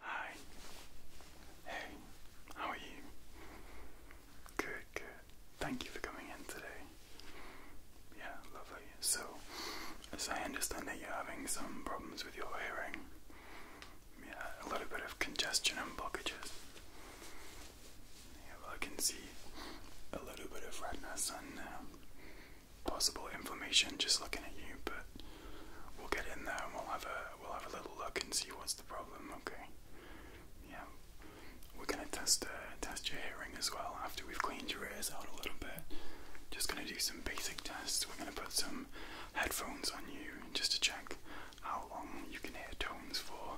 Hi. Hey, how are you? Good, good. Thank you for coming in today. Yeah, lovely. So, as I understand that you're having some problems with your hearing, yeah, a little bit of congestion and blockages. I can see a little bit of redness and uh, possible inflammation just looking at you, but We'll get in there and we'll have a we'll have a little look and see what's the problem. Okay. Yeah. We're gonna test uh, test your hearing as well after we've cleaned your ears out a little bit. Just gonna do some basic tests. We're gonna put some headphones on you just to check how long you can hear tones for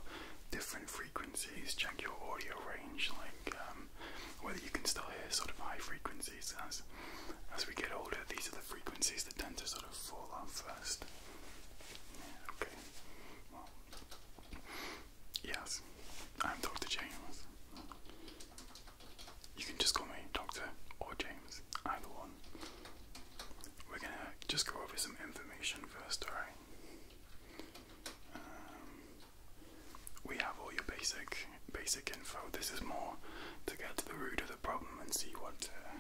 different frequencies. Check your audio range, like um, whether you can still hear sort of high frequencies. That's as we get older, these are the frequencies that tend to sort of fall off first. okay. yes, I'm Dr. James. You can just call me Doctor or James, either one. We're gonna just go over some information first, alright? Um, we have all your basic basic info. This is more to get to the root the problem and see what uh,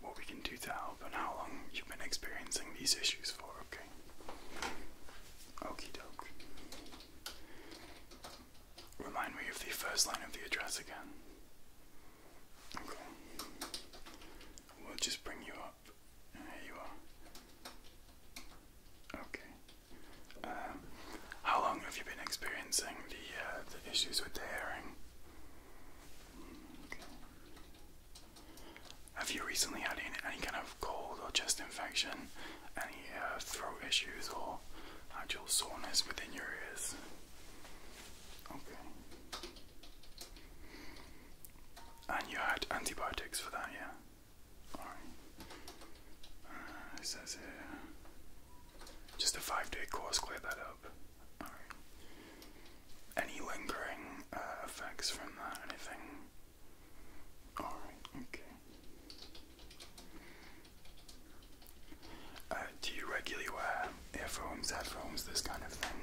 what we can do to help and how long you've been experiencing these issues for. Okay. Okie doke. Remind me of the first line of the address again. Okay. We'll just bring you up. Here you are. Okay. Um, how long have you been experiencing the uh, the issues with the hearing? Have you recently had any, any kind of cold or chest infection, any uh, throat issues, or actual soreness within your ears? Okay. And you had antibiotics for that, yeah? Alright. Uh, it says here. Just a five day course, clear that up. Alright. Any lingering uh, effects from that? Anything? Alright, okay. Uh, do you regularly wear earphones, headphones, this kind of thing?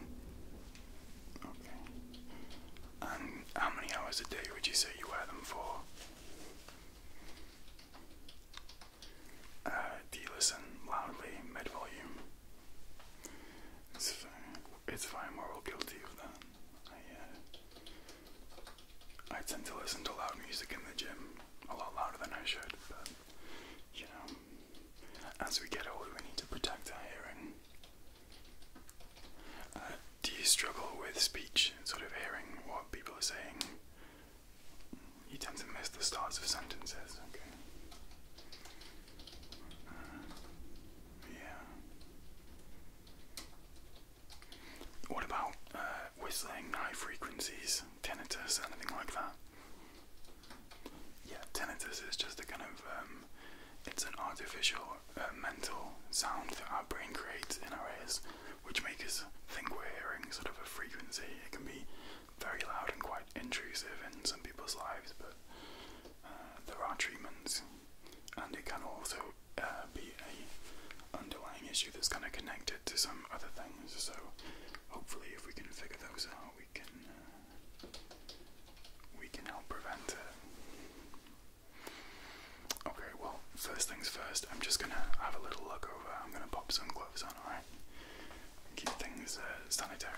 Okay. And how many hours a day would you say you wear them for? Uh, do you listen loudly mid-volume. It's fine. It's fine. We're all guilty of that. Uh, I tend to listen to loud music in the gym a lot louder than I should, but you know, as we get older, we need to protect our hearing. Uh, do you struggle with speech sort of hearing what people are saying? You tend to miss the starts of sentences, okay? Uh, yeah. What about uh, whistling, high frequencies, tinnitus, anything like that? Yeah, tinnitus is just a kind of, um, it's an artificial uh, mental sound that our brain creates in our ears, which makes us think we're hearing sort of a frequency. It can be very loud and quite intrusive in some people's lives, but uh, there are treatments, and it can also uh, be a underlying issue that's kind of connected to some other things. So hopefully, if we can figure those out, we can uh, we can help prevent it. Okay, well, first things first. I'm just gonna have a little look over. I'm gonna pop some gloves on, keep things uh, sanitary.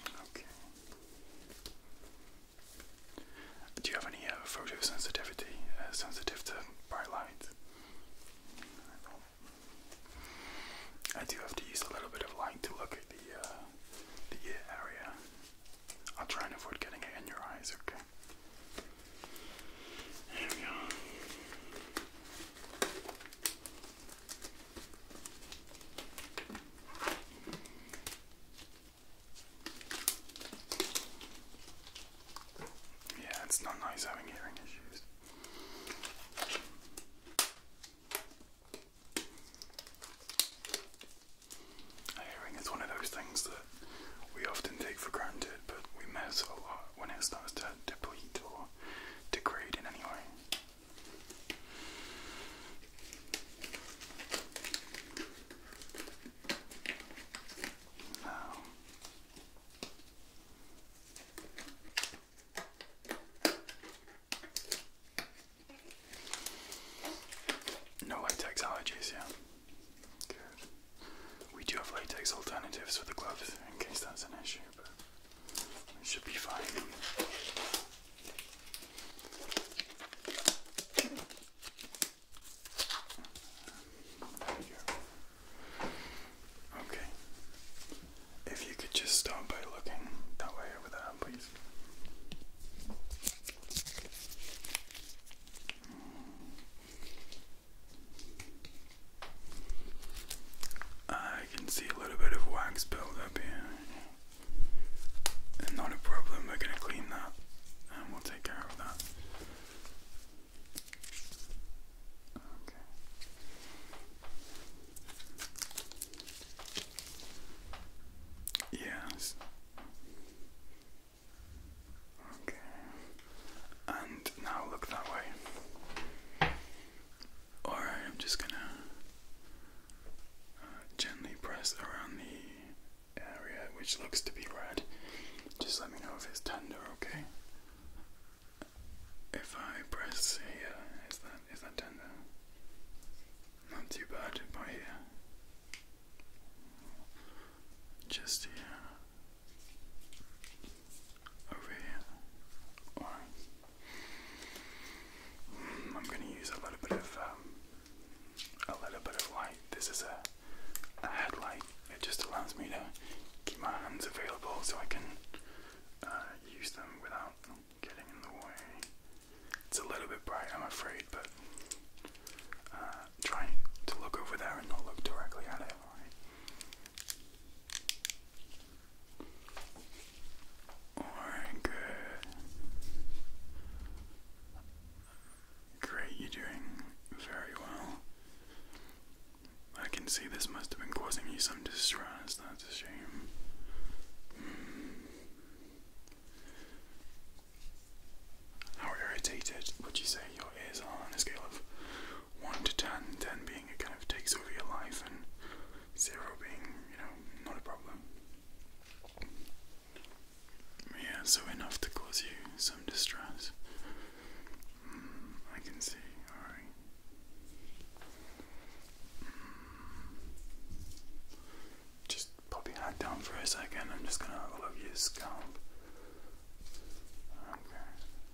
Okay. Do you have any uh, photosensitivity, uh, sensitive to bright light? I do have to use a little bit of light to look at the the area. I'll try and avoid getting it in your eyes. Okay. Yeah, it's not nice having hearing issues. Hearing is one of those things that we often take for granted, but we mess a lot when it starts to deplete or degrade in any way. no latex allergies, yeah. Good. We do have latex alternatives for the gloves in case that's an issue, but it should be fine. Okay. If you could just start by looking that way over there, please. I can see a little bit of wax build up here. not a problem, we're gonna clean that and we'll take care of that. Yes. Okay. And now look that way. Alright, I'm just gonna uh, gently press around the area which looks to be red. Just let me know if it's tender, okay? If I press here, is that is that tender? Not too bad by here just here, over here. right. I'm going to use a little bit of um, a little bit of light. This is a, headlight. It just allows me to keep my hands available so I can uh, use them without getting in the way. It's a little bit bright, I'm afraid, but uh, that. to look over there and not look directly at it, Alright, good. Great, you're doing very well. I can see this must have been causing you some distress, that's a shame. Hmm. How irritated would you say your ears are on a scale of 1 to 10, 10 being it kind of takes over your life, and 0 being, you know, not a problem. Yeah, so enough to cause you some distress. Mm, I can see, alright. Mm. Just pop your down for a second. I'm just gonna have your scalp. Okay.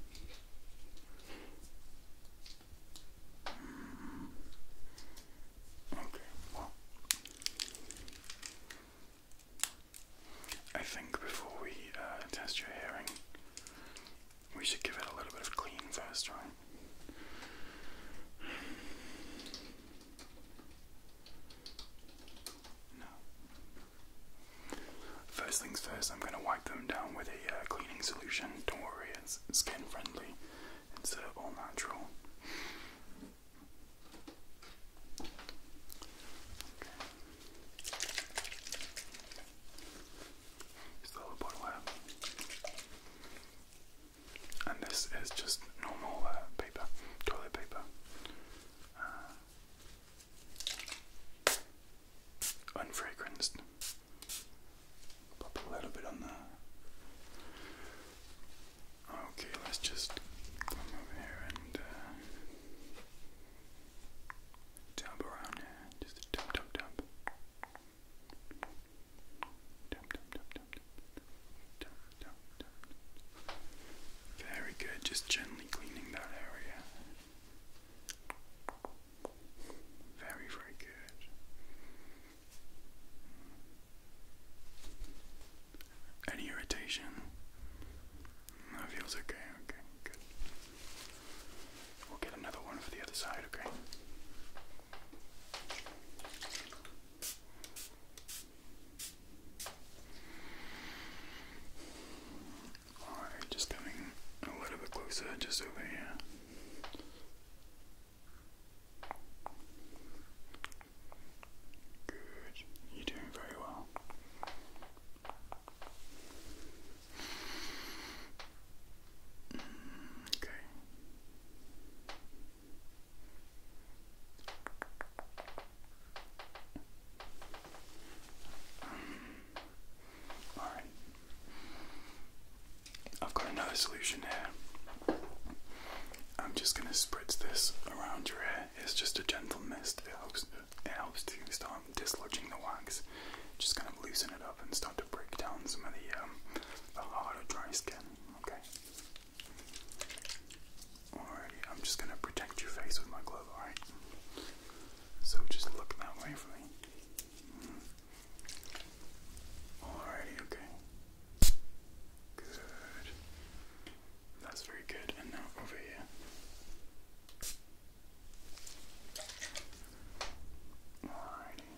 Okay, well. I think before we uh, test your hearing, we should give it a little bit of clean first, right? First things first, I'm gonna wipe them down with a uh, cleaning solution. Don't worry, it's skin friendly. It's uh, all natural. Still a bottle out. And this is just normal uh, paper, toilet paper. Uh, Unfragranced. Pop a little bit on the. Okay, let's just come over here and dab uh, around here. Just dab. Dab, dab, dab, dab, dab, dab, dab, dab. Very good. Just gently cleaning that area. Very, very good. Any irritation? That feels okay, okay, good. We'll get another one for the other side, okay? Alright, just coming a little bit closer, just over here. Good, you're doing very well. Mm, okay. Um, Alright. I've got another solution here. I'm just gonna spritz this around your hair. It's just a gentle mist. It helps it helps to start dislodging the wax. Just kind of loosen it up and start to break down some of the um harder dry skin. Okay. Alrighty, I'm just gonna protect your face with my glove, alright? So just look that way for me. Mm. Alrighty, okay. Good. That's very good. And now over here. Alrighty.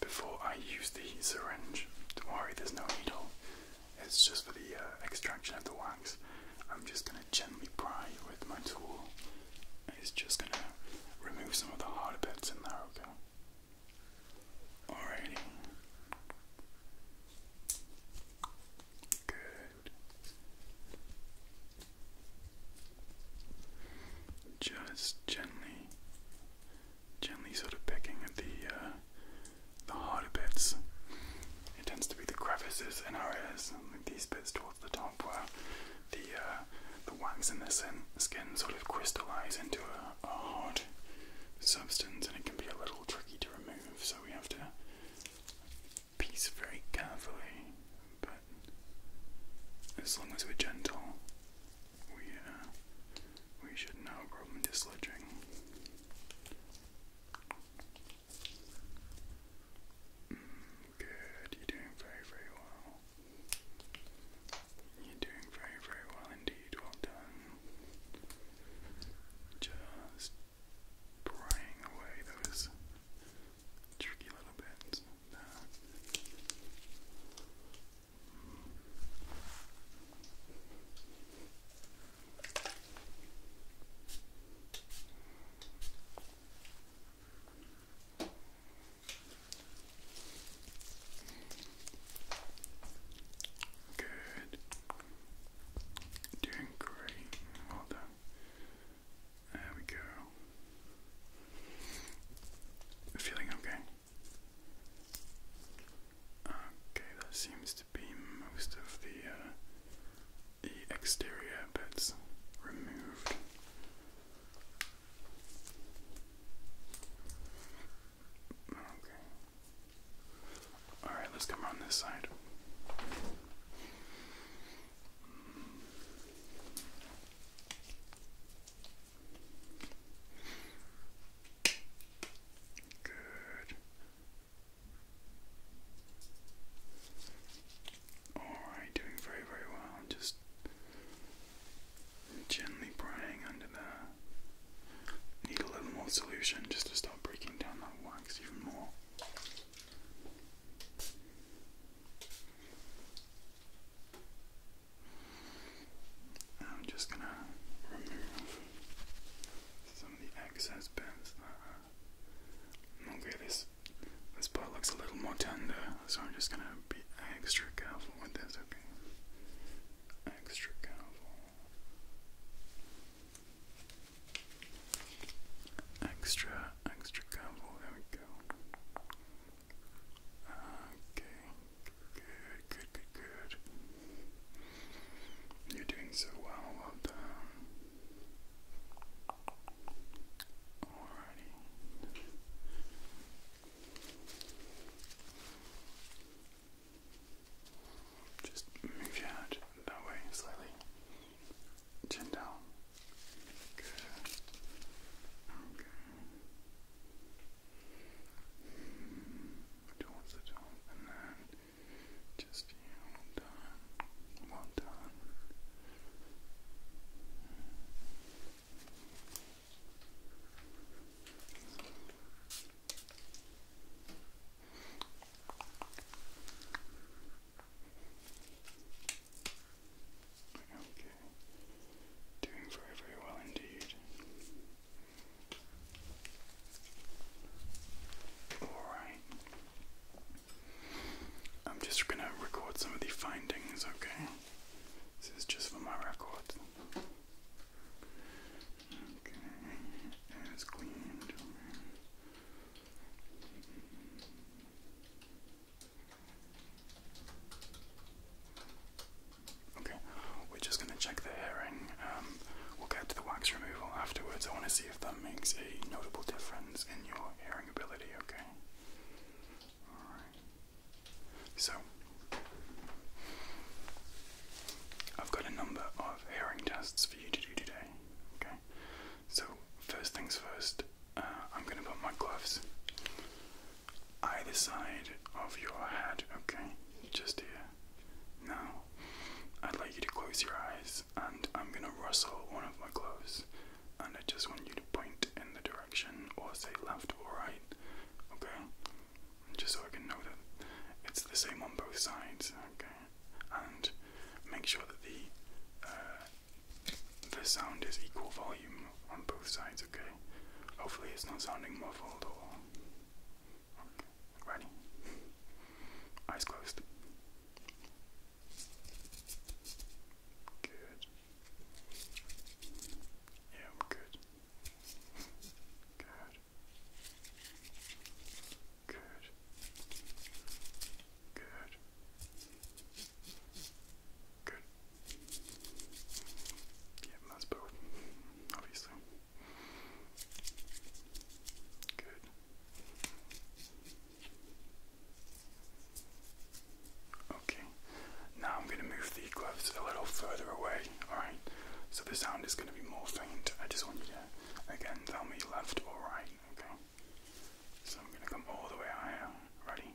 Before I use the syringe, don't worry, there's no needle. It's just for the uh, extraction of the wax. I'm just going to gently pry with my tool. It's just going to remove some of the harder bits in there, okay? Alrighty. Good. Just gently, gently sort of picking at the uh, the harder bits. It tends to be the crevices in our ears, like these bits towards the top where the uh, the wax in the skin, sort of crystallize into a, hard substance, and it can be a little tricky to remove. So we have to piece very carefully, but as long as we're gentle, we uh, we should now no problem dislodging. Good, you're doing very, very well. You're doing very, very well indeed. Well done. Just prying away those tricky little bits. Good. Doing great. Well done. There we go. Feeling okay? Okay, that seems to be most of the, uh, the exterior bits removed. Okay. Alright, let's come around this side. Good. Alright, doing very, very well. Just gently prying under the. Need a little more solution just to start breaking down that wax even more. I'm just gonna remove some the excess bits that, uh, this, this part looks a little more tender, so I'm just gonna be extra careful with this, okay? Extra careful. Extra, extra careful, there we go. Okay, good, good, good, good. You're doing so well, Alrighty. Just move your head that way slightly. Chin down. Good. Okay. Towards the top and then just yeah, well done. Well done. Okay. Doing very, very well indeed. Alright. I'm just going to record some of the findings, okay? This is just for my record. Okay, it's cleaned. Okay, we're just going to check the hearing. Um, we'll get to the wax removal afterwards. I want to see if that makes a notable difference in your hearing ability, okay? Alright. So, I've got a number of hearing tests for you to do today, okay? So, first things first, uh, I'm going to put my gloves either side of your head, okay? Just here. Now, I'd like you to close your eyes and I'm going to rustle one of my clothes and I just want you to point in the direction or say left or right, okay? Just so I can know that it's the same on both sides, okay? And make sure that the uh, the sound is equal volume on both sides, okay? Hopefully it's not sounding muffled or Ready? Eyes closed. Good. Yeah, we're good. Good. Good. Good. Good. Yeah, that's both, obviously. Good. Okay, now I'm going to move the gloves a little further away, alright? So the sound is going to be more faint. I just want you to, again, tell me left or right, okay? So I'm going to come all the way higher. Ready?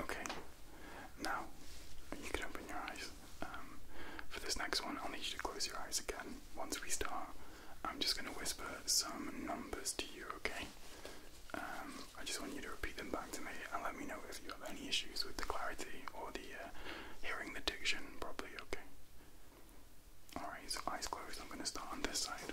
Okay, now you can open your eyes. Um, for this next one, I'll need you to close your eyes again. Once we start, I'm just going to whisper some numbers to you, okay? Um, I just want you to repeat them back to me and let me know if you have any issues with the clarity or the uh, hearing the diction properly, okay? Alright, so eyes closed, I'm going to start on this side.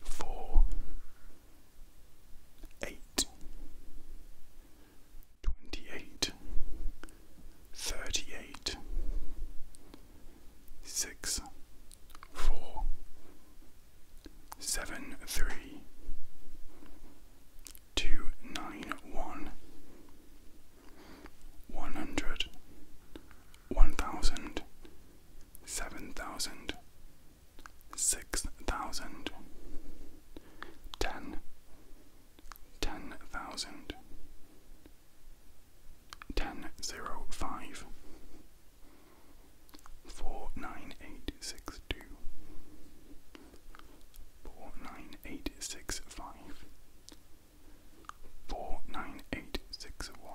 four, eight, twenty-eight, thirty-eight, six, four, seven, three, two, nine, one, one hundred, one thousand seven thousand, six thousand, ten, ten thousand, ten zero oh five, four nine eight six two, four nine eight six five, four nine eight six one.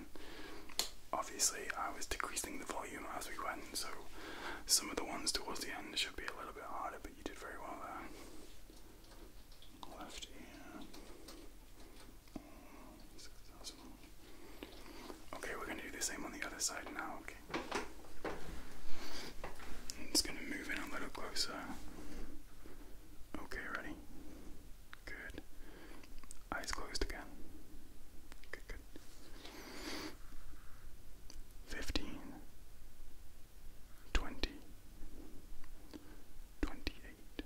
Um, obviously I was decreasing the volume as we went, so some of the ones towards the end should be a little bit harder, but you did very well there. Left ear. Okay, we're going to do the same on the other side now, okay? I'm just going to move in a little closer. Okay, ready? Good. Eyes closed again. Good, good. Fifteen. Twenty. Twenty-eight.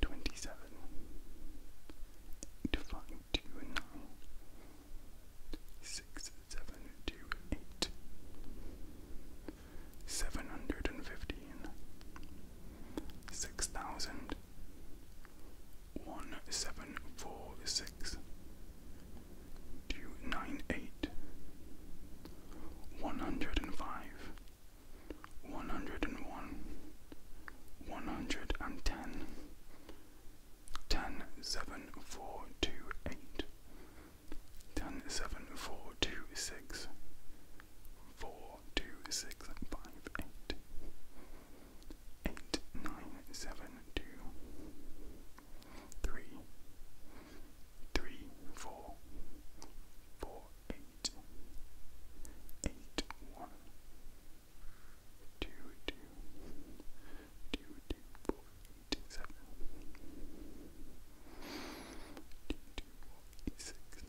Twenty-seven. Define two and nine. Six, seven, two, eight. Seven hundred and fifteen. Six thousand one seven four six two nine eight one hundred and five one hundred and one one hundred and ten ten seven four two eight ten seven four two six four two six five eight eight nine seven two three three four four eight eight one two two two two four eight seven two two four eight six two two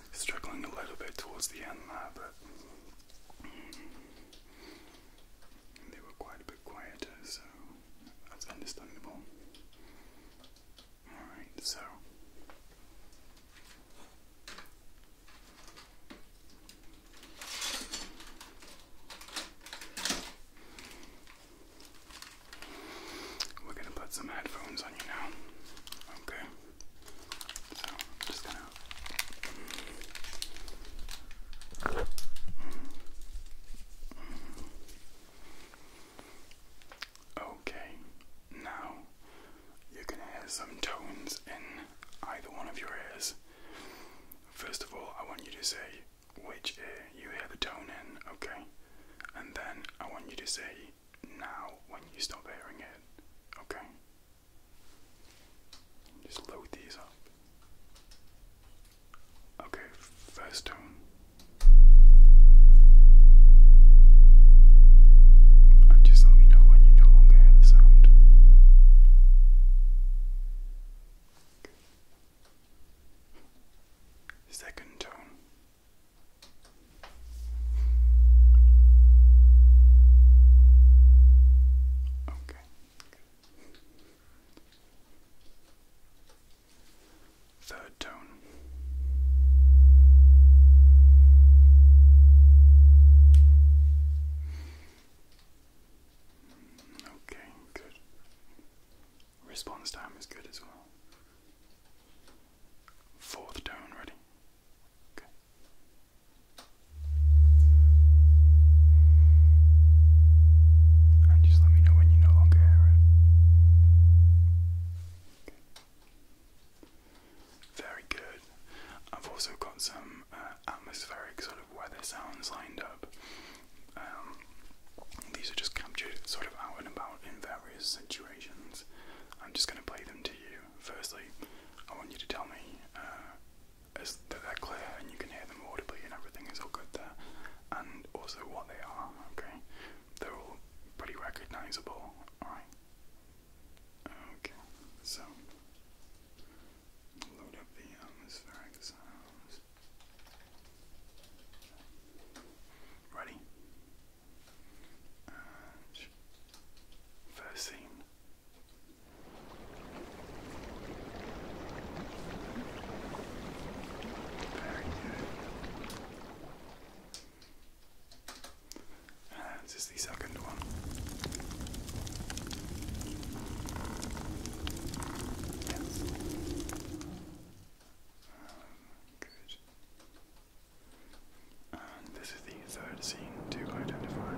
struggling a little bit towards the end there, but mm, they were quite a bit quieter, so that's understandable. Alright, so. We're going to put some headphones on you now. Okay. Okay, now you're gonna hear some tones in either one of your ears. First of all, I want you to say which ear you hear the tone in, okay? And then I want you to say now when you stop hearing it, okay? Just load these up. Okay, first tone. And just let me know when you no longer hear the sound. Second tone. Okay. Third tone. Okay, good. Response time is good as well. Fourth tone ready. And just let me know when you no longer hear it. Very good. I've also got some uh, atmospheric sort of weather sounds lined up. Um, these are just captured sort of out and about in various situations. I'm just going to play them to you. Firstly, I want you to tell me is uh, that they're clear and you can hear them audibly and everything is all good there, and also what they are. Okay, they're all pretty recognizable. All right. Okay, so load up the atmospheric sounds. Ready? first scene. Very good. Uh, this is the second one. Yes. Um, good this is the third scene to identify.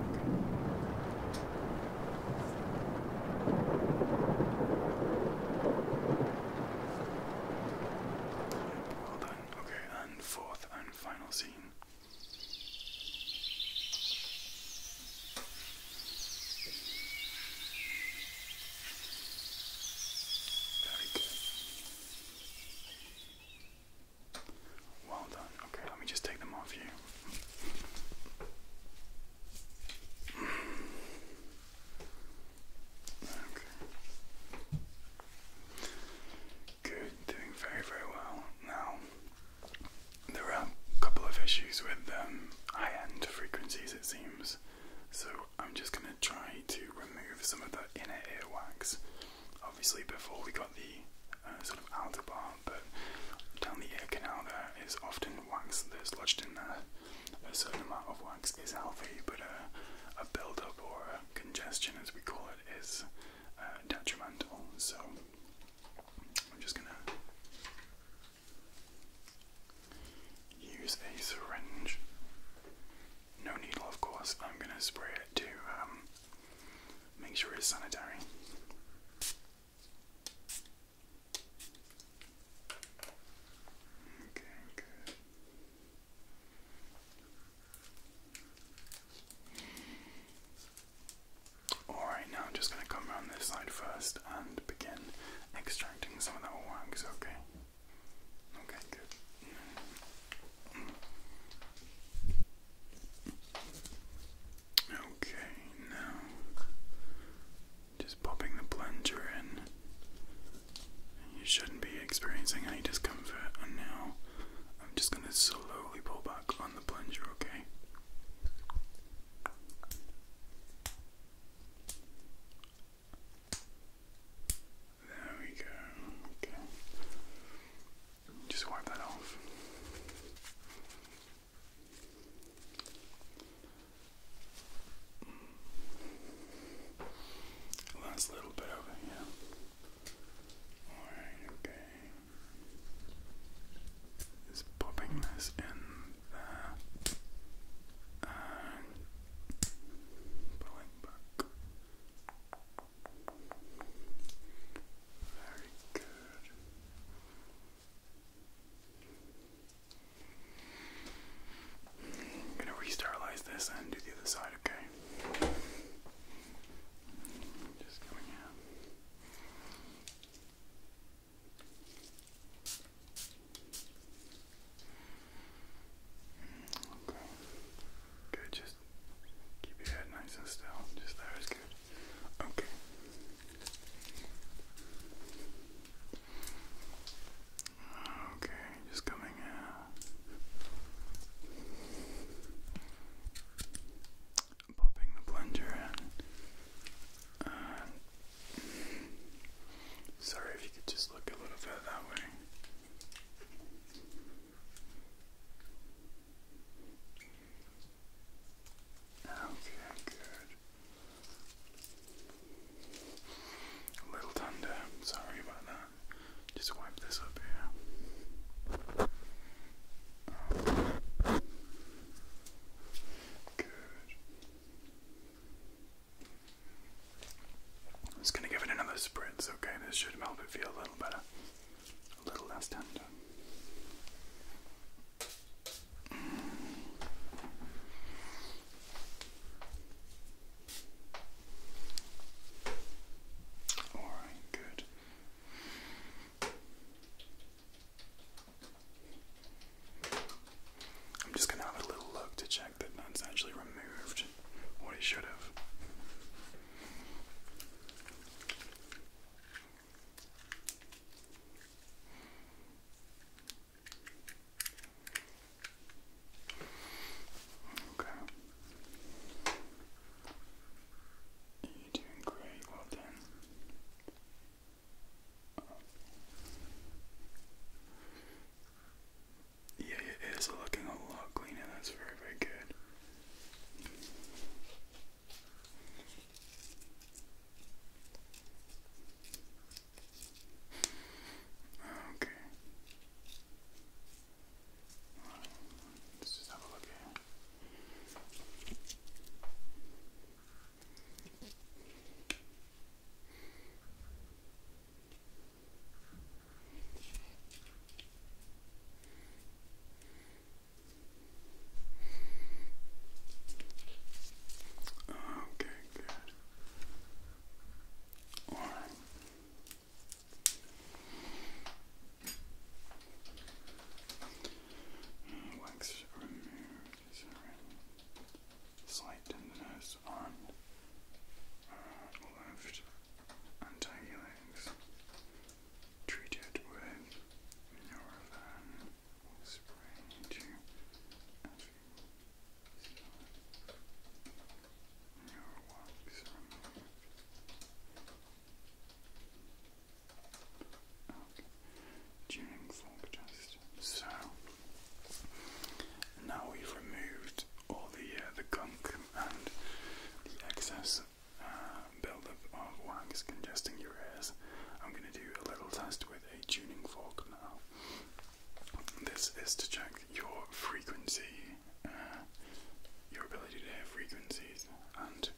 Well done. Okay, and fourth and final scene. Very good. Well done. Okay, let me just take them off you. Okay. Good, doing very, very well. Now, there are a couple of issues with um, high end frequencies, it seems. So, I'm just going to try to remove some of the inner earwax obviously before we got the uh, sort of outer bar, but down the ear canal there is often wax that's lodged in there. A certain amount of wax is healthy, but a, a build-up or congestion, as we call it, is uh, detrimental. So I'm just gonna use a syringe no needle, of course. I'm going to spray it to um, make sure it's sanitary. Okay, good. Alright, now I'm just going to come around this side first and begin extracting some of that wax, okay? Okay, good. Okay, now just popping the plunger in. You shouldn't be experiencing any discomfort, and now I'm just going to slowly pull back on the plunger, okay? There we go. Okay. Just wipe that off. Last little bit over here. Alright, okay. Just popping this in there. And pulling back. Very good. I'm gonna re this and do the other side, okay? Just coming out. Okay. Good, just keep your head nice and still. Just there is good. Okay. Okay, just coming out. Popping the plunger in. sorry if you could just look a little bit that way. Okay, good. A little thunder. Sorry about that. Just wipe this up here. Good. just gonna give it another spritz, okay? This should help it feel a little better a little less tender. All right, good. I'm just going to have a little look to check that none's actually removed what he should have. Okay. You're doing great, well done. Yeah, it is looking a lot cleaner, that's very, very good. Okay. Well, let's just have a look Okay, good. All right. Wax removed. Is on uh, left antagolegs? treated with Nurofen spray to Neurowax removed. So now we've removed all the uh, the gunk and the excess uh, buildup of wax congesting your ears. I'm going to do a little test with a tuning fork now. This is to check your frequency, uh, your ability to hear frequencies, and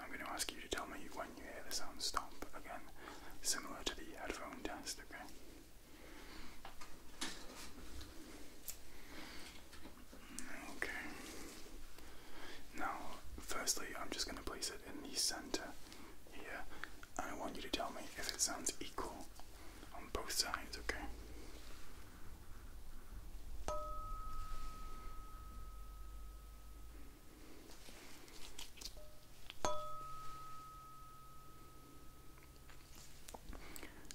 I'm going to ask you to tell me when you hear the sound stop again, similar to the headphone test, okay? Okay. Now, firstly, I'm just going to place it in the center here, and I want you to tell me if it sounds equal on both sides, okay?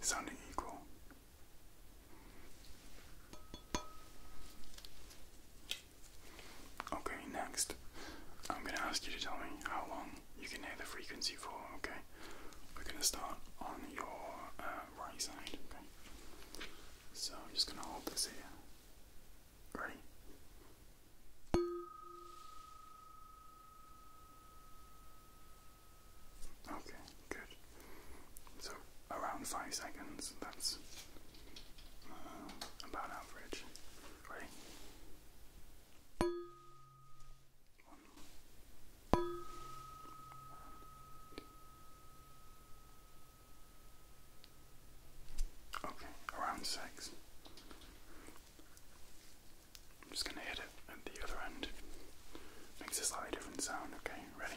Sounding equal. Okay, next, I'm gonna ask you to tell me how long you can hear the frequency for, okay? We're gonna start on your uh, right side, okay? So I'm just gonna hold this here. Ready? Okay, good. So around five seconds, that's uh, about average. Ready? Okay, around six. I'm just going to hit it at the other end. Makes a slightly different sound, okay? Ready?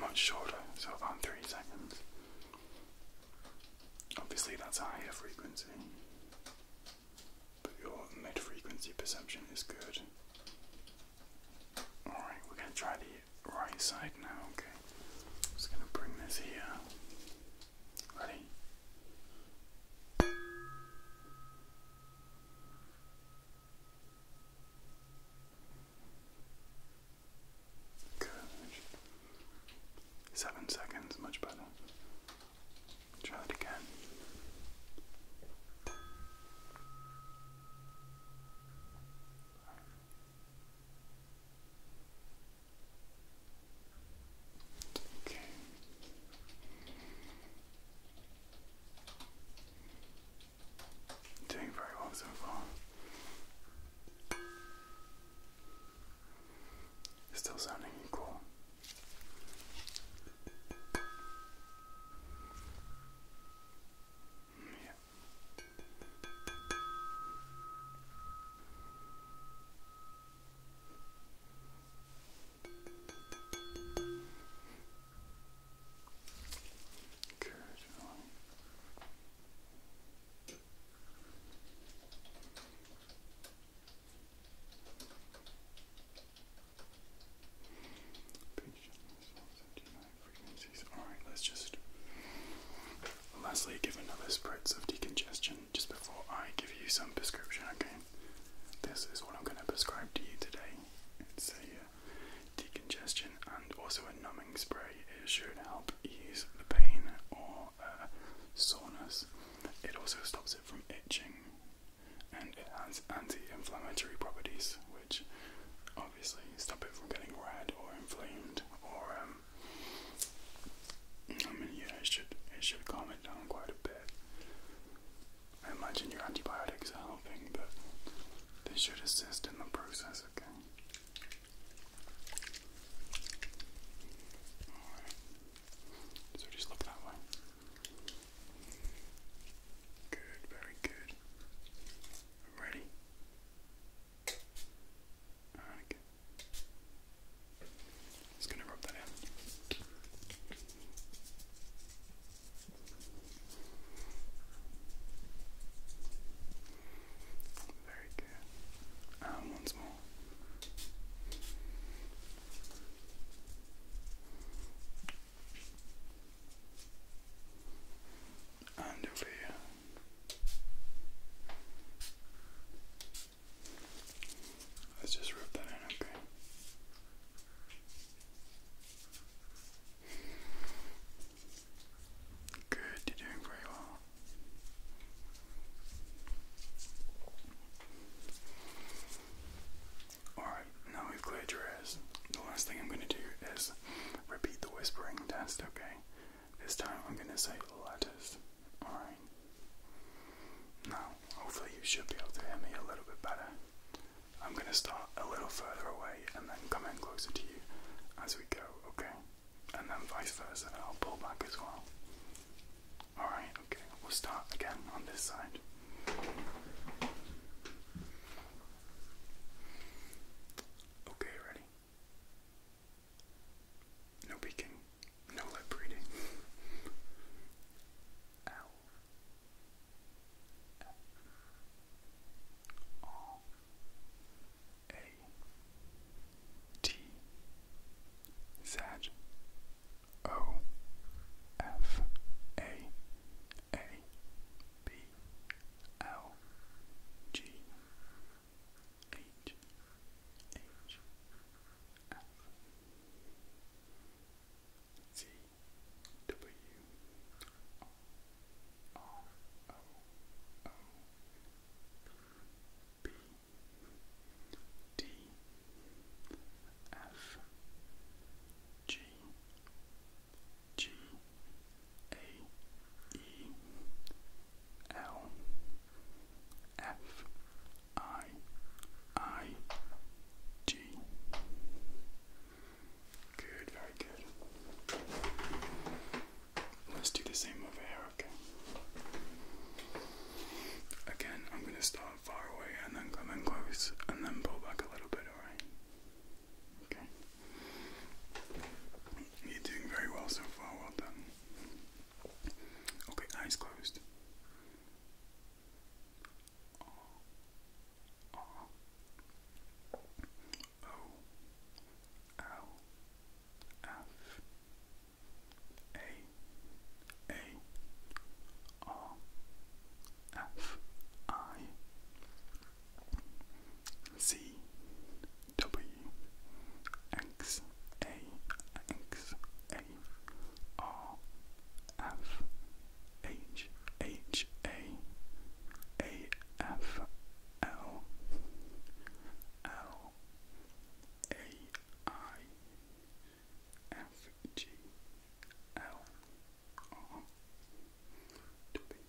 Much shorter, so about three seconds. Obviously, that's higher frequency, but your mid frequency perception is good. Alright, we're going to try the right side now, okay? just gonna bring this here. Ready? Good. Seven seconds, much better. Try that again. Okay. Doing very well so far. Still sounding cool. Yeah. Good. Alright, let's just lastly give another spritz of decongestion just before I give you some prescription, okay? This is what I'm going to prescribe to you today. It's a uh, decongestion and also a numbing spray. It should help ease the pain or uh, soreness. It also stops it from itching and it has anti inflammatory properties, which obviously stop it from getting red or inflamed or um I mean yeah it should it should calm it down quite a bit. I imagine your antibiotics are helping but they should assist in the process, okay? Alright. So just look that way. Good, very good. I'm ready. Okay. Just gonna rub that in. Very good. Um, once more and here. Let's just rub that in, okay? Good, you're doing very well. Alright, now we've cleared your the last thing I'm going to do is repeat the whispering test, okay? This time I'm going to say letters, alright? Now, hopefully, you should be able to hear me a little bit better. I'm going to start a little further away and then come in closer to you as we go, okay? And then vice versa, and I'll pull back as well. Alright, okay, we'll start again on this side. Okay, ready? No peeking, no lip reading. L. F. R. A. T. Z. O. F. A. A. B L G H H F Z W R O O B D F G G A E L F I I G. Good, very good. Let's do the same over here, okay? Again, I'm going to start far away and then come in close and then pull back a little bit, alright? You're doing very well so far, well done. Okay, eyes closed. O. L. F. A. A. R. F. I. C W X A X A R F H H A A F L L A I F G L R W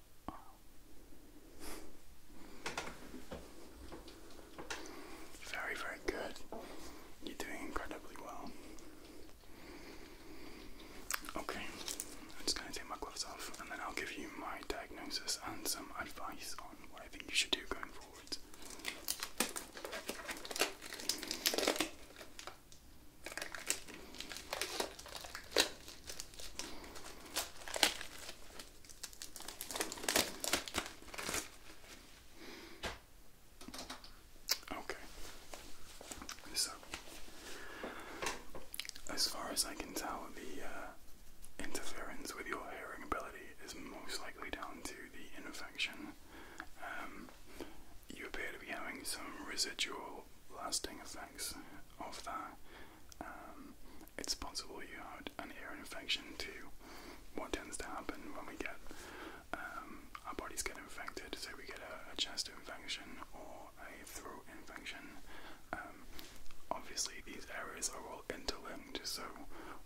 very, very good. You're doing incredibly well. Okay, I'm just going to take my gloves off and then I'll give you my diagnosis and some advice on what I think you should do going forward. Okay. So, as far as I can tell, the uh, interference with your hearing ability is most likely down to the infection. Um, you appear to be having some residual lasting effects of that. Um, it's possible you have an ear infection too. What tends to happen when we get um, our bodies get infected, so we get a, chest infection or a throat infection. Um, obviously, these areas are all interlinked, so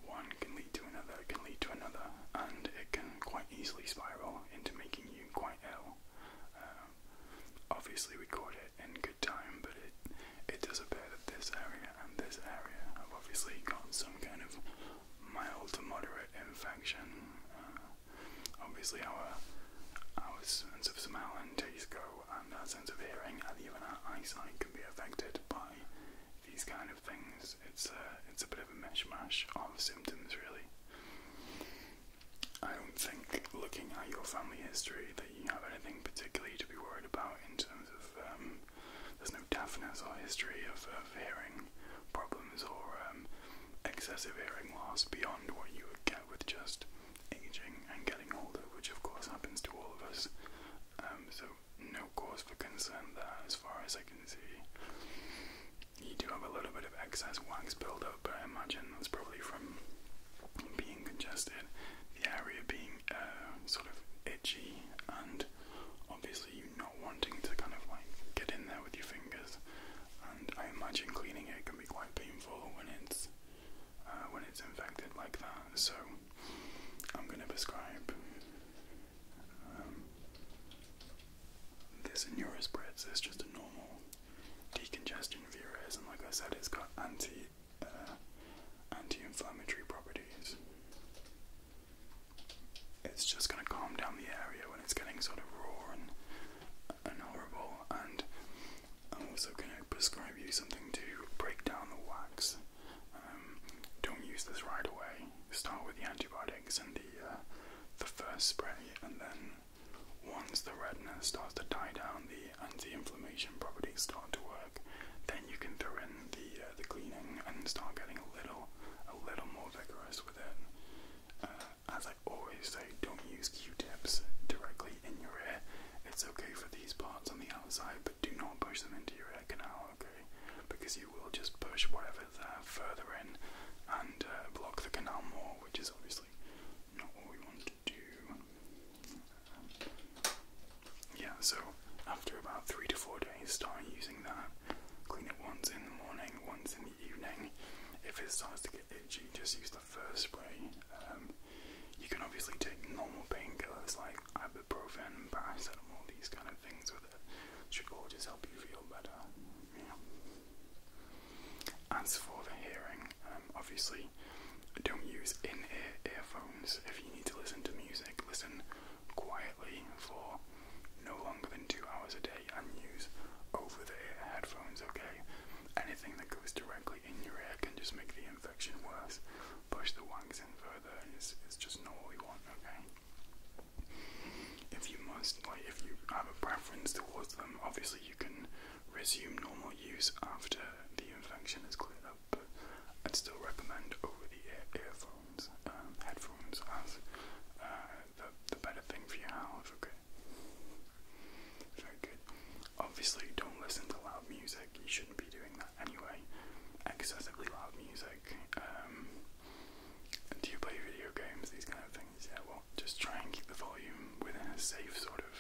one can lead to another, can lead to another, and it can quite easily spiral into making you quite ill. obviously, we call it time, but it it does appear that this area and this area have obviously got some kind of mild to moderate infection. Uh, obviously, our our sense of smell and taste go, and our sense of hearing, and even our eyesight can be affected by these kind of things. It's a it's a bit of a mishmash of symptoms, really. I don't think, looking at your family history, you have anything particularly to be worried about in terms of um, there's no deafness or history of, hearing problems or um, excessive hearing loss beyond what you would get with just aging and getting older, which of course happens to all of us. Um, so no cause for concern there, as far as I can see. You do have a little bit of excess wax buildup, but I imagine that's probably from being congested, the area being uh, sort of itchy, and obviously not wanting to kind of like get in there with your fingers. And I imagine cleaning it can be quite painful when it's uh, when it's infected like that. So I'm going to prescribe um, this neurospritz. It's just a normal decongestion virus, and like I said, it's got anti uh, anti-inflammatory properties. It's just going to calm down the area when it's getting sort of raw and and horrible. And I'm also going to prescribe you something to break down the wax. Um, don't use this right away. Start with the antibiotics and the uh, the first spray, and then once the redness starts to die down, the anti-inflammation properties start to work then you can throw in the uh, the cleaning and start getting a little a little more vigorous with it. Uh, as I always say, don't use Q-tips directly in your ear. It's okay for these parts on the outside, but do not push them into your ear canal, okay? Because you will just push whatever there further in and uh, block the canal more, which is obviously not what we want yeah, so after about three to four days, start using that. Clean it once in the morning, once in the evening. If it starts to get itchy, just use the first spray. Um, you can obviously take normal painkillers like ibuprofen, paracetamol, these kind of things with it. Should all just help you feel better. Yeah. As for the hearing, um, obviously don't use in-ear earphones if you need to listen to music. Listen quietly for no longer than two hours a day and use over-the-ear headphones, okay? Anything that goes directly in your ear can just make the infection worse. Push the wangs in further It's just not what we want, okay? If you must, like, if you have a preference towards them, obviously you can resume normal use after the infection is cleared up up. I'd still recommend over-the-ear earphones, um, headphones as uh, the, the better thing for your health, okay? Very good. Obviously, don't listen to loud music. You shouldn't be doing that anyway. Excessively loud music. Um, do you play video games? These kind of things. Yeah. Well, just try and keep the volume within a safe sort of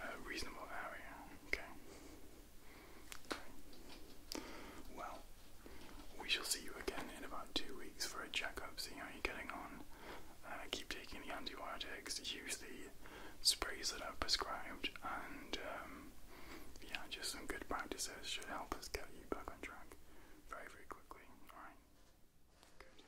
uh, reasonable area. Okay. Well, we shall see you again in about two weeks for a checkup, see how you're getting on. Uh, keep taking the antibiotics, use the sprays that I've prescribed, and um, yeah, just some good practices should help us get you back on track very, very quickly. Alright? Good.